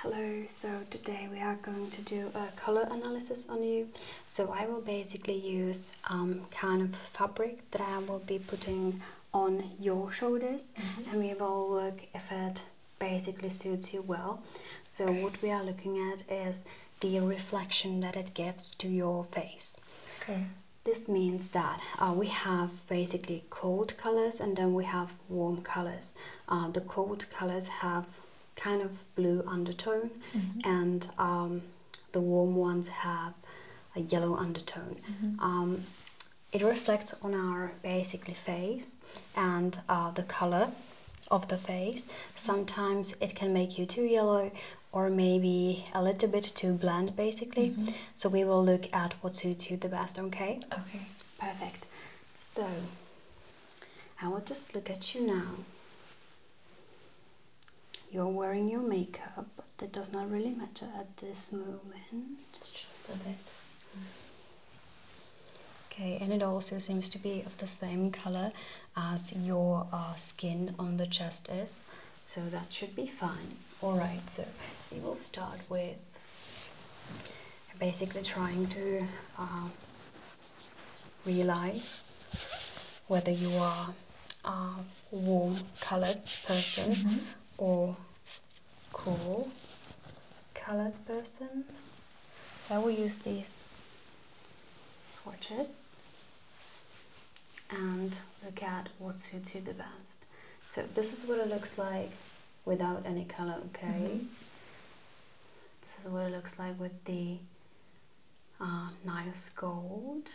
Hello, so today we are going to do a color analysis on you. So I will basically use um, kind of fabric that I will be putting on your shoulders mm-hmm. and we will look if it basically suits you well. So what we are looking at is the reflection that it gives to your face. Okay. This means that uh, we have basically cold colors and then we have warm colors. Uh, the cold colors have kind of blue undertone mm-hmm. and um, the warm ones have a yellow undertone. Mm-hmm. Um, it reflects on our basically face and uh, the color of the face. Sometimes it can make you too yellow or maybe a little bit too bland basically. Mm-hmm. So we will look at what suits you the best, okay? Okay, perfect. So I will just look at you now. You're wearing your makeup, but that does not really matter at this moment. It's just a bit. Okay, and it also seems to be of the same color as your uh, skin on the chest is, so that should be fine. Alright, so we will start with basically trying to um, realize whether you are a warm colored person mm-hmm. or cool colored person. So I will use these swatches and look at what suits you the best. So this is what it looks like without any color, okay? Mm-hmm. This is what it looks like with the uh, nice gold.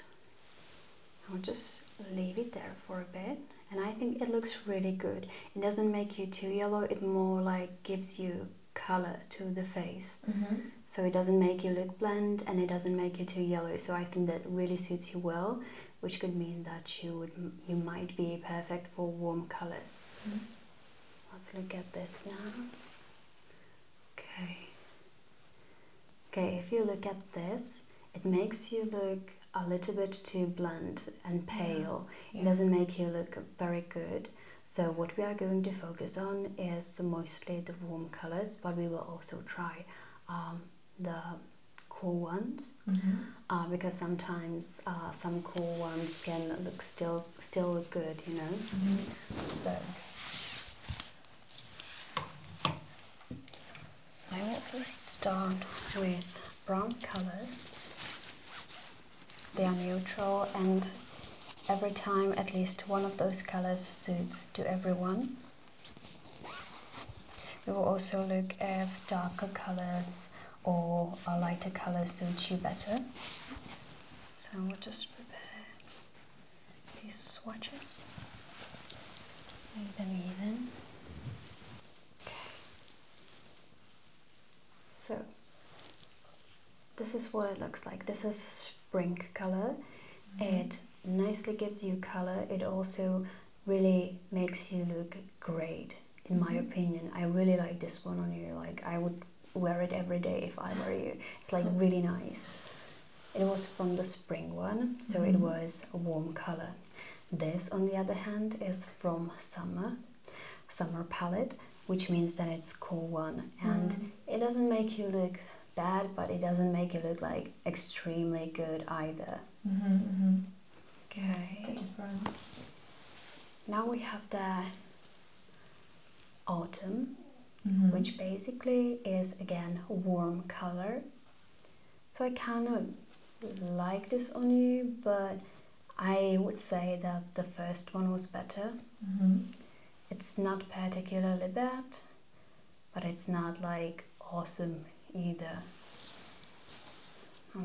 I'll just leave it there for a bit and I think it looks really good it doesn't make you too yellow it more like gives you color to the face mm-hmm. so it doesn't make you look bland and it doesn't make you too yellow so i think that really suits you well which could mean that you would you might be perfect for warm colors mm-hmm. let's look at this now okay okay if you look at this it makes you look a little bit too bland and pale it doesn't make you look very good. So what we are going to focus on is mostly the warm colors, but we will also try um, the cool ones mm-hmm. uh, because sometimes uh, some cool ones can look still still good, you know. Mm-hmm. So I want to start with brown colors. They are neutral and every time at least one of those colors suits to everyone. We will also look if darker colors or a lighter color suits you better. So we'll just prepare these swatches, make them even. Okay. So this is what it looks like. This is spring color. Mm-hmm. It nicely gives you color. It also really makes you look great, in my mm-hmm. opinion. I really like this one on you. Like I would wear it every day if I were you. It's like really nice. It was from the spring one, so it mm-hmm. was a warm color. This, on the other hand, is from summer, summer palette, which means that it's cool one and mm. it doesn't make you look bad, but it doesn't make you look like extremely good either. Mm-hmm, mm-hmm. Okay. Now we have the autumn, mm-hmm. which basically is again warm color so I kind of like this on you, but I would say that the first one was better. Mm-hmm. It's not particularly bad, but it's not like awesome either.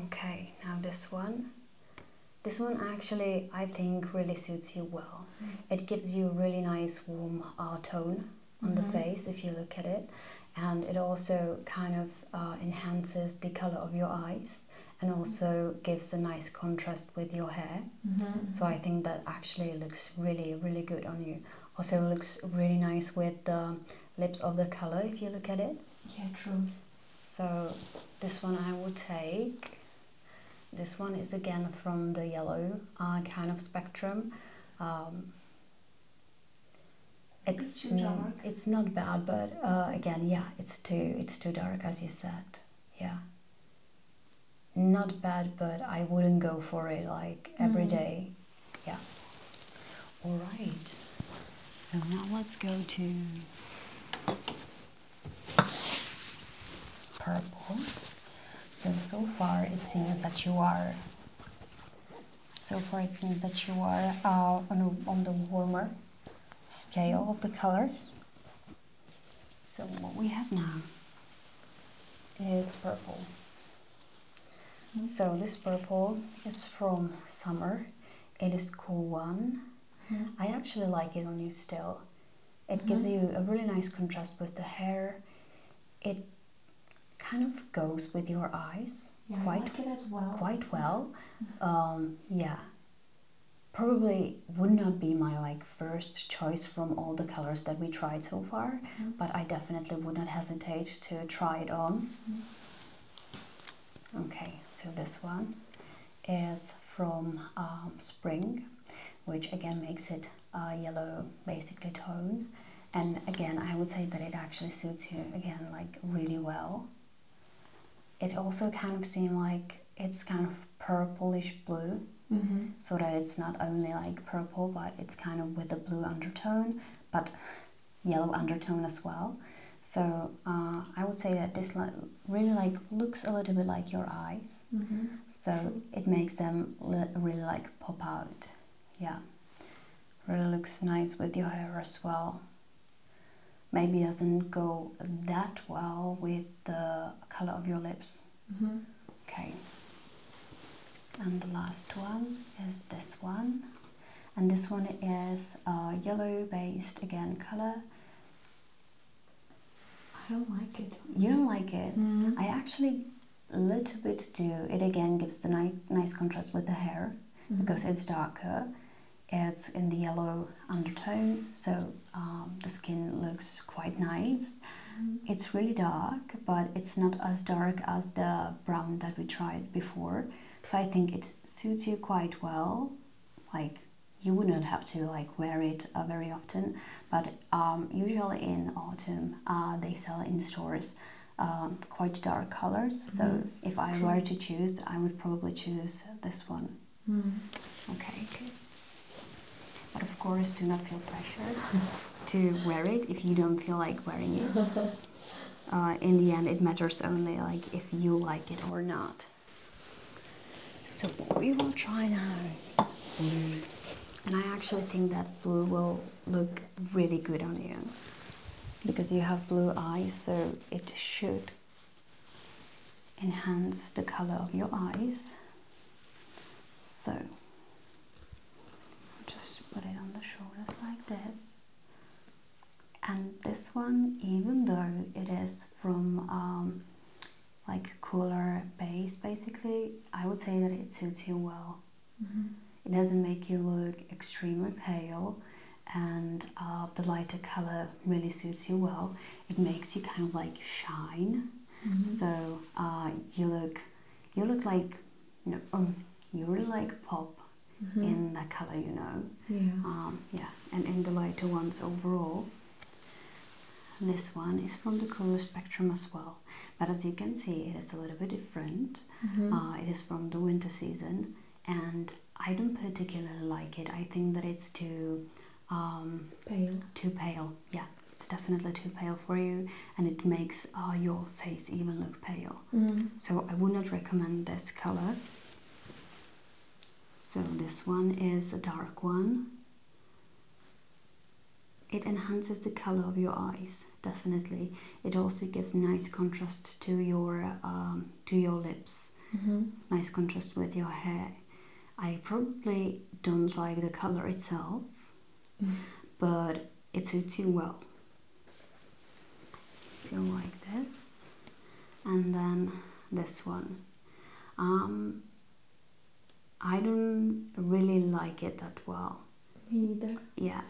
Okay, now this one. This one actually, I think, really suits you well. Mm. It gives you a really nice warm uh, tone on the mm-hmm. face if you look at it and it also kind of uh, enhances the color of your eyes and also gives a nice contrast with your hair. Mm-hmm. So I think that actually looks really, really good on you. Also looks really nice with the lips of the color if you look at it. Yeah, true. So this one I will take. This one is again from the yellow uh, kind of spectrum. Um, it's, it's It's not bad, but uh, again, yeah, it's too it's too dark as you said. Yeah. Not bad, but I wouldn't go for it like every mm. day, Yeah. All right. So now let's go to purple. So so far it seems that you are so for instance that you are uh, on, on the warmer scale of the colors. So what we have now is purple. Mm-hmm. So this purple is from summer. It is cool one. Mm-hmm. I actually like it on you still. It gives mm-hmm. you a really nice contrast with the hair. It kind of goes with your eyes quite well. Quite well. Um, yeah. Probably would not be my like first choice from all the colors that we tried so far, mm-hmm. but I definitely would not hesitate to try it on. Mm-hmm. Okay, so this one is from um, Spring, which again makes it a yellow basically tone and again I would say that it actually suits you again like really well it also kind of seems like it's kind of purplish blue mm-hmm. so that it's not only like purple but it's kind of with a blue undertone but yellow undertone as well so uh, i would say that this li really like looks a little bit like your eyes mm-hmm. so it makes them really like pop out yeah really looks nice with your hair as well maybe doesn't go that well with the color of your lips mm-hmm. okay and the last one is this one and this one is a yellow based again color I don't like it. You don't like it? Mm-hmm. I actually a little bit too. It again gives the ni nice contrast with the hair mm-hmm. because it's darker. It's in the yellow undertone, so um, the skin looks quite nice. Mm-hmm. It's really dark, but it's not as dark as the brown that we tried before. So I think it suits you quite well. Like you wouldn't have to like wear it uh, very often, but um, usually in autumn uh, they sell in stores um, quite dark colors. So mm-hmm. if I were to choose, I would probably choose this one. Mm. Okay. But of course, do not feel pressured to wear it if you don't feel like wearing it. Uh, in the end, it matters only like if you like it or not. So we will try now is blue. And I actually think that blue will look really good on you because you have blue eyes, so it should enhance the color of your eyes. So just put it on the shoulders like this. And this one, even though it is from um, like cooler base basically, I would say that it suits you well. Mm-hmm. It doesn't make you look extremely pale, and uh, the lighter color really suits you well. It makes you kind of like shine. Mm-hmm. So uh, you look, you look like, you are um, like pop mm-hmm. in that color, you know. Yeah. Um, yeah, and in the lighter ones overall. This one is from the color spectrum as well. But as you can see, it is a little bit different. Mm-hmm. Uh, it is from the winter season, and I don't particularly like it. I think that it's too um, pale. Too pale, yeah. It's definitely too pale for you, and it makes uh, your face even look pale. Mm-hmm. So I would not recommend this color. So this one is a dark one. It enhances the color of your eyes, definitely. It also gives nice contrast to your um, to your lips. Mm-hmm. Nice contrast with your hair. I probably don't like the color itself, but it suits you well. So like this, and then this one. Um, I don't really like it that well. Yeah,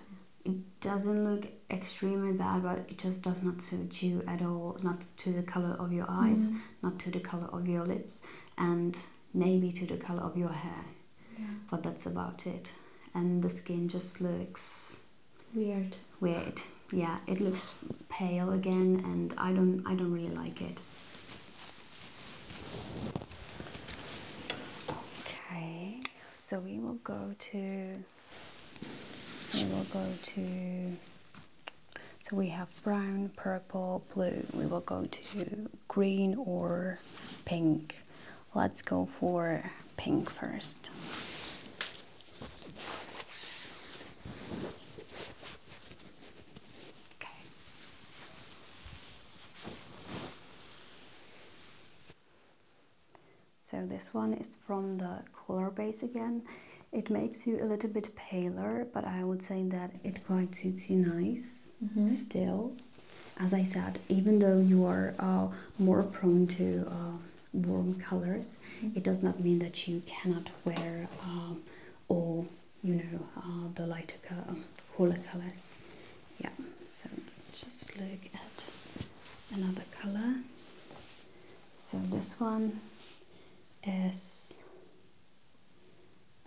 it doesn't look extremely bad, but it just does not suit you at all. Not to the color of your eyes, mm. not to the color of your lips, and maybe to the color of your hair. But that's about it. And the skin just looks weird. Weird. Yeah, it looks pale again, and I don't I don't really like it. Okay, so we will go to we will go to so we have brown, purple, blue. We will go to green or pink. Let's go for pink first. So this one is from the color base again. It makes you a little bit paler, but I would say that it quite suits you nice mm-hmm. still. As I said, even though you are uh, more prone to uh, warm colors, mm-hmm. it does not mean that you cannot wear um, all you know are the lighter color, cooler colors. Yeah, so let's just look at another color. So this one is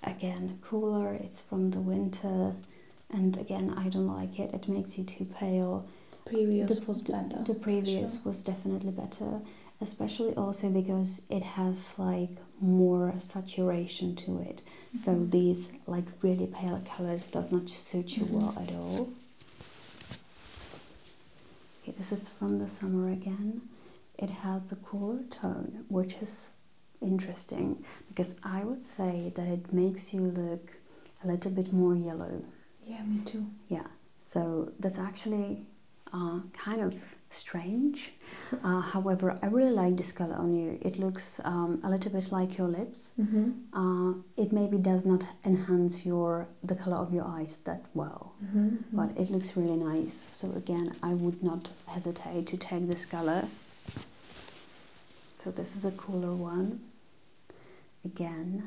again cooler, it's from the winter, and again, I don't like it, it makes you too pale. Previous the, was better. The previous was definitely better, especially also because it has like more saturation to it so these like really pale colors does not suit you mm-hmm. well at all okay this is from the summer again it has a cooler tone which is interesting because i would say that it makes you look a little bit more yellow yeah me too yeah so that's actually uh, kind of strange uh, however, I really like this color on you. It looks um, a little bit like your lips. Mm-hmm. Uh, it maybe does not enhance your the color of your eyes that well, mm-hmm. but it looks really nice. So again, I would not hesitate to take this color. So this is a cooler one. Again.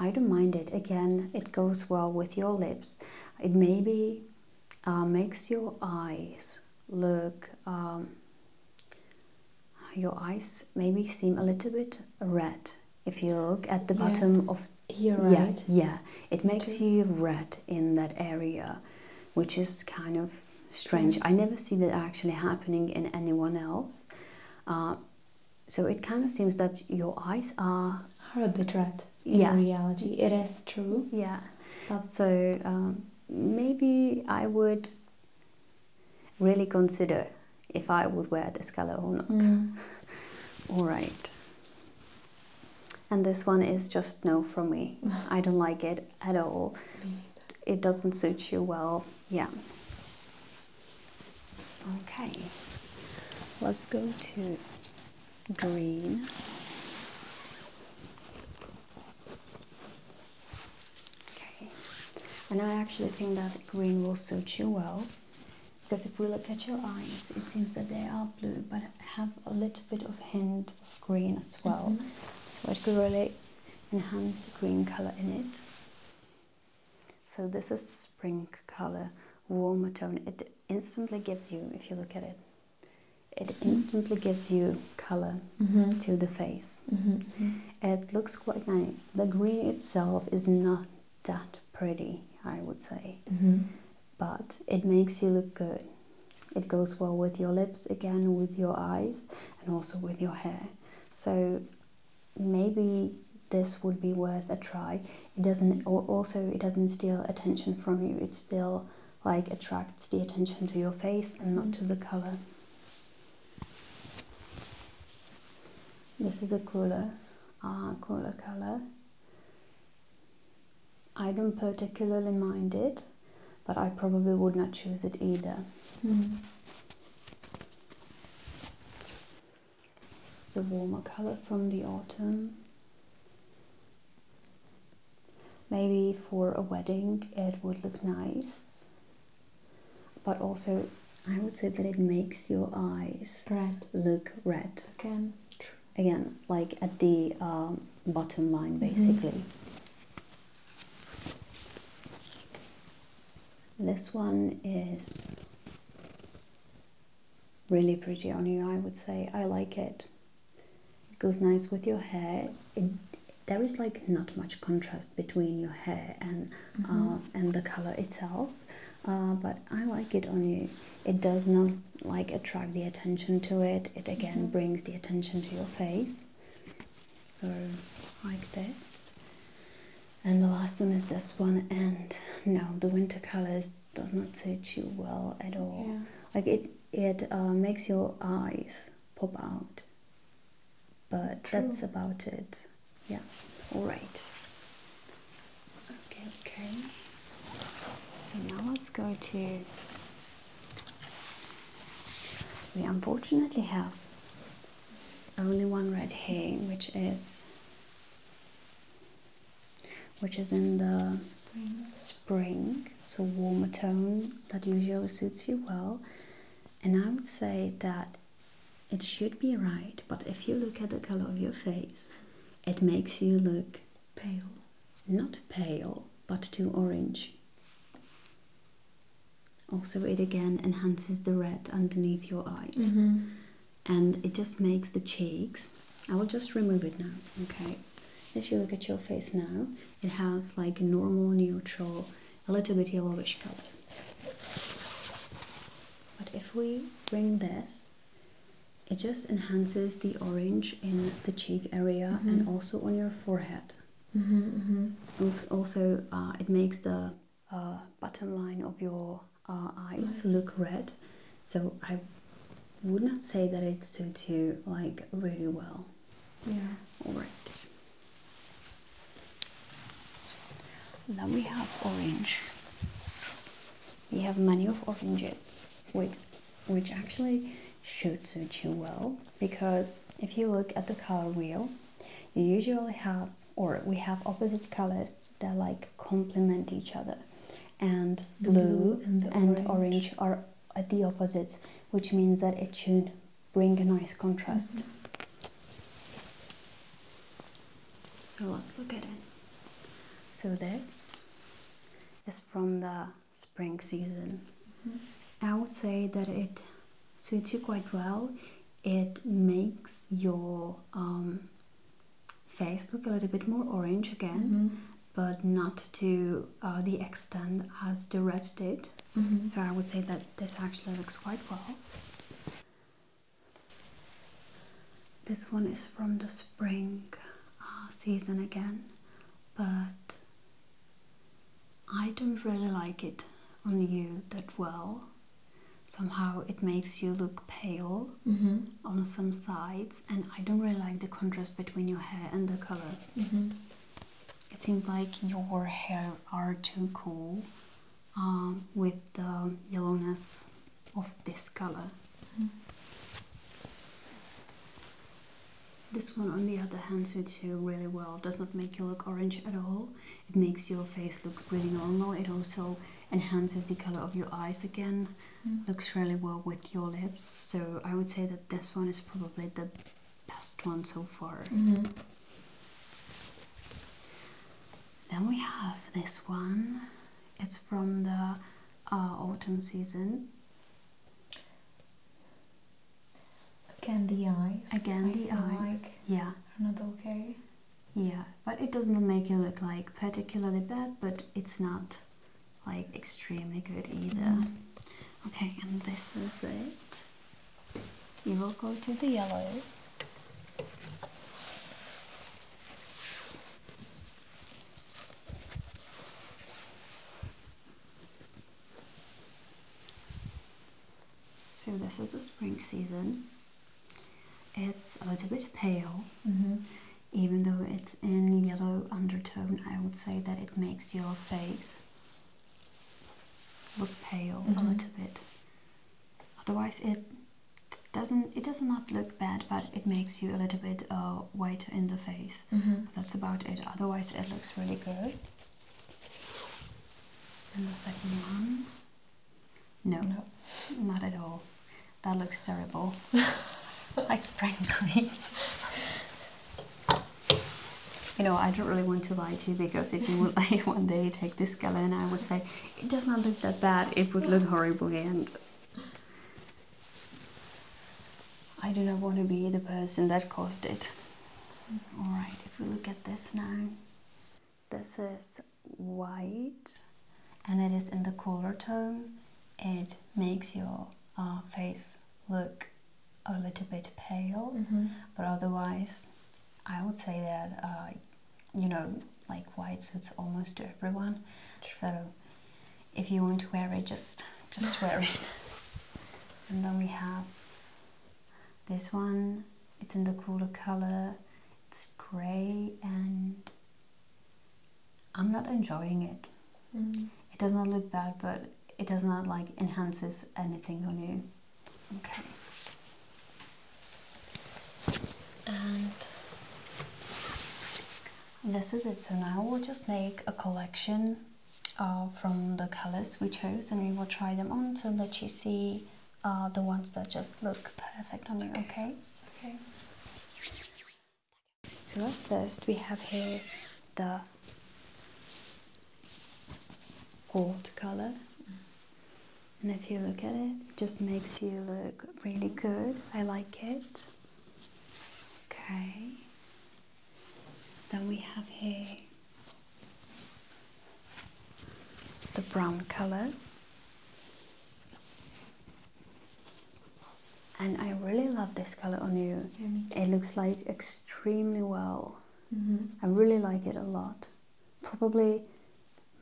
I don't mind it. Again, it goes well with your lips. It may be uh, makes your eyes look um, your eyes maybe seem a little bit red if you look at the bottom of here right yeah, it makes you red in that area which is kind of strange mm. i never see that actually happening in anyone else uh, so it kind of seems that your eyes are, are a bit red yeah. reality. It is true. Yeah. so um, maybe I would really consider if I would wear this color or not. Mm. All right. And this one is just no for me. I don't like it at all. It doesn't suit you well. Yeah. Okay. Let's go to green, okay. And I actually think that green will suit you well because if we look at your eyes, it seems that they are blue but have a little bit of hint of green as well. Mm-hmm. So it could really enhance the green color in it. So this is spring color, warmer tone. It instantly gives you, if you look at it, it instantly gives you color mm-hmm. to the face. Mm-hmm. It looks quite nice. The green itself is not that pretty, I would say, mm-hmm. but it makes you look good. It goes well with your lips, again, with your eyes, and also with your hair. So maybe this would be worth a try. It doesn't also it doesn't steal attention from you. It still like attracts the attention to your face and not to the mm-hmm. color. This is a cooler, uh, cooler color. I don't particularly mind it, but I probably would not choose it either. Mm-hmm. This is a warmer color from the autumn. Maybe for a wedding it would look nice, but also I would say that it makes your eyes red. look red. Again. Again, like at the um, bottom line mm-hmm. basically. This one is Really pretty on you, I would say. I like it. It goes nice with your hair. there is like not much contrast between your hair and mm-hmm. uh, and the color itself, uh, but I like it on you. It does not like attract the attention to it. It again mm-hmm. brings the attention to your face. So like this and the last one is this one and no the winter colors does not suit you well at all yeah. like it it uh, makes your eyes pop out but that's about it yeah all right okay okay so now let's go to we unfortunately have only one red herring which is which is in the spring. so warmer tone that usually suits you well. And I would say that it should be right, but if you look at the color of your face, it makes you look pale. Not pale, but too orange. Also, it again enhances the red underneath your eyes. Mm-hmm and it just makes the cheeks. I will just remove it now, okay? If you look at your face now, it has like normal, neutral, a little bit yellowish color. But if we bring this, it just enhances the orange in the cheek area and mm-hmm. also on your forehead. Mm-hmm, mm-hmm. Also, uh, it makes the uh, bottom line of your uh, eyes look red. So I would not say that it suits you like really well. Yeah. All right. Then we have orange. We have many of oranges, which, which actually should suit you well because if you look at the color wheel, you usually have or we have opposite colors that like complement each other and blue, and, orange. are the opposites which means that it should bring a nice contrast mm-hmm. so let's look at it so this is from the spring season mm-hmm. i would say that it suits you quite well it makes your um, face look a little bit more orange again, mm-hmm. but not to uh, the extent as the red did. Mm-hmm. So I would say that this actually looks quite well. This one is from the spring uh, season again, but I don't really like it on you that well somehow it makes you look pale mm-hmm. on some sides and i don't really like the contrast between your hair and the color mm-hmm. it seems like your hair are too cool um, with the yellowness of this color mm-hmm. this one on the other hand suits you really well does not make you look orange at all it makes your face look really normal. It also enhances the color of your eyes again. Mm. Looks really well with your lips. So I would say that this one is probably the best one so far. Mm-hmm. Then we have this one. It's from the uh, autumn season. Again the eyes. Again the eyes. Like yeah. Not okay. Yeah, but it doesn't make it look like particularly bad, but it's not like extremely good either. Mm-hmm. Okay, and this is it. You will go to the yellow. So this is the spring season. It's a little bit pale, mm-hmm. even though it's in yellow undertone. I would say that it makes your face look pale a mm-hmm. little bit. Otherwise, it doesn't. It does not look bad, but it makes you a little bit uh, white in the face. Mm-hmm. That's about it. Otherwise, it looks really good. And the second one. No, no, not at all. That looks terrible. like, frankly. you know, I don't really want to lie to you because if you would like one day take this color I would say it does not look that bad, it would look horrible and I do not want to be the person that caused it. Mm-hmm. Alright, if we look at this now, this is white and it is in the cooler tone. It makes your uh, face look a little bit pale, mm-hmm. but otherwise, I would say that uh, you know, like white suits almost everyone. So if you want to wear it, just just wear it. And then we have this one, it's in the cooler color, it's grey and I'm not enjoying it. Mm. It does not look bad, but it does not like enhances anything on you. Okay. And this is it. So now we'll just make a collection uh, from the colors we chose and we will try them on to let you see see the ones that just look perfect on you, okay? Okay. So as first we have here the gold color. And if you look at it, it just makes you look really mm-hmm. good. I like it. Okay. Then we have here the brown color and I really love this color on you it looks like extremely well mm-hmm. I really like it a lot probably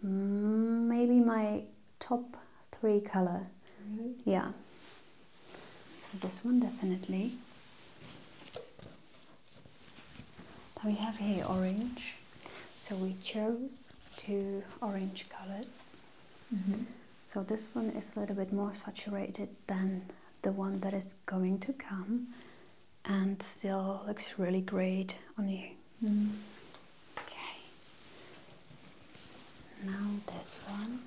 maybe my top three color yeah so this one definitely we have here orange so we chose two orange colors mm-hmm. so this one is a little bit more saturated than the one that is going to come and still looks really great on you mm-hmm. okay now this one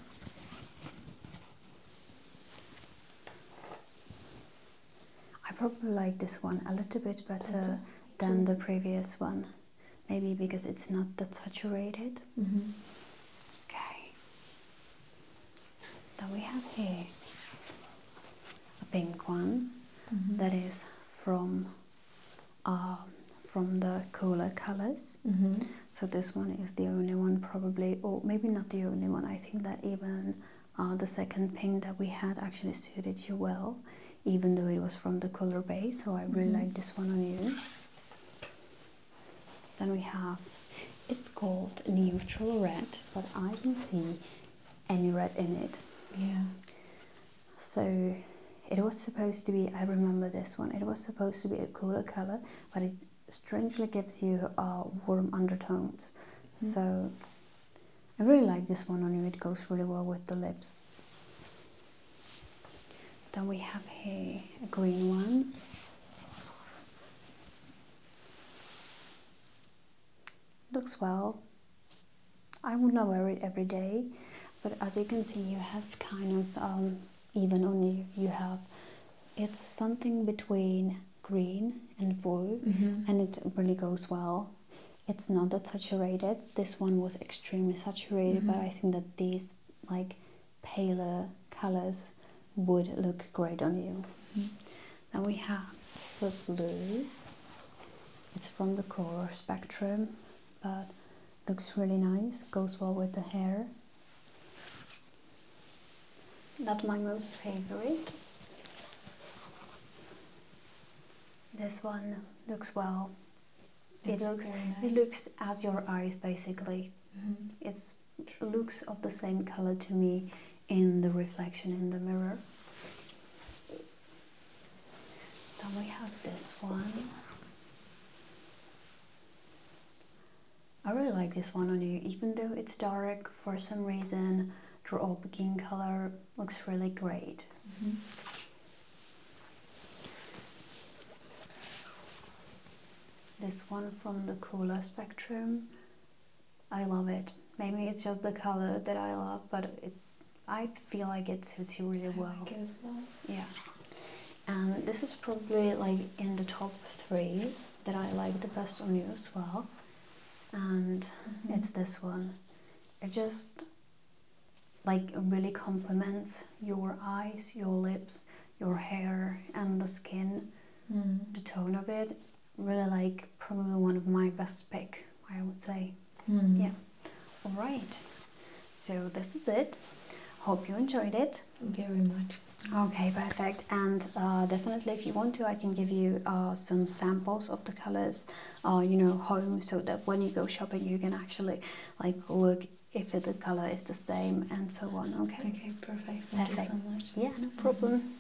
I probably like this one a little bit better than the previous one. Maybe because it's not that saturated. Mm Okay. Then we have here a pink one mm-hmm. that is from uh, from the cooler colors. Mm-hmm. So this one is the only one probably, or maybe not the only one. I think that even uh, the second pink that we had actually suited you well, even though it was from the color base. So I really mm-hmm. like this one on you. Then we have, it's called neutral red, but I don't see any red in it. Yeah. So it was supposed to be, I remember this one, it was supposed to be a cooler color, but it strangely gives you uh, warm undertones. Hmm. So I really like this one on you. It goes really well with the lips. Then we have here a green one. Looks well. I would not wear it every day, but as you can see, you have kind of um, even on you. You have it's something between green and blue mm-hmm. and it really goes well it's not that saturated this one was extremely saturated but mm-hmm. i think that these like paler colors would look great on you mm now we have the blue it's from the color spectrum but looks really nice goes well with the hair not my most favorite. This one looks well. it looks it looks as your eyes basically. Mm It's looks of the same color to me in the reflection in the mirror. Then we have this one. I really like this one on you, even though it's dark for some reason, the opal color looks really great. Mm-hmm. This one from the Cooler Spectrum, I love it. Maybe it's just the color that I love, but it, I feel like it suits you really well. Yeah. And um, this is probably like in the top three that I like the best on you as well, and mm-hmm. it's this one. It just like really complements your eyes, your lips, your hair, and the skin. Mm. The tone of it really like probably one of my best pick. I would say. Mm. Yeah. All right. So this is it. Hope you enjoyed it it very much. Okay, perfect. And uh, definitely, if you want to, I can give you uh, some samples of the colors, uh, you know, home, so that when you go shopping, you can actually like look if the color is the same and so on. Okay. Okay, perfect. Thank perfect. you so much. Yeah, no problem.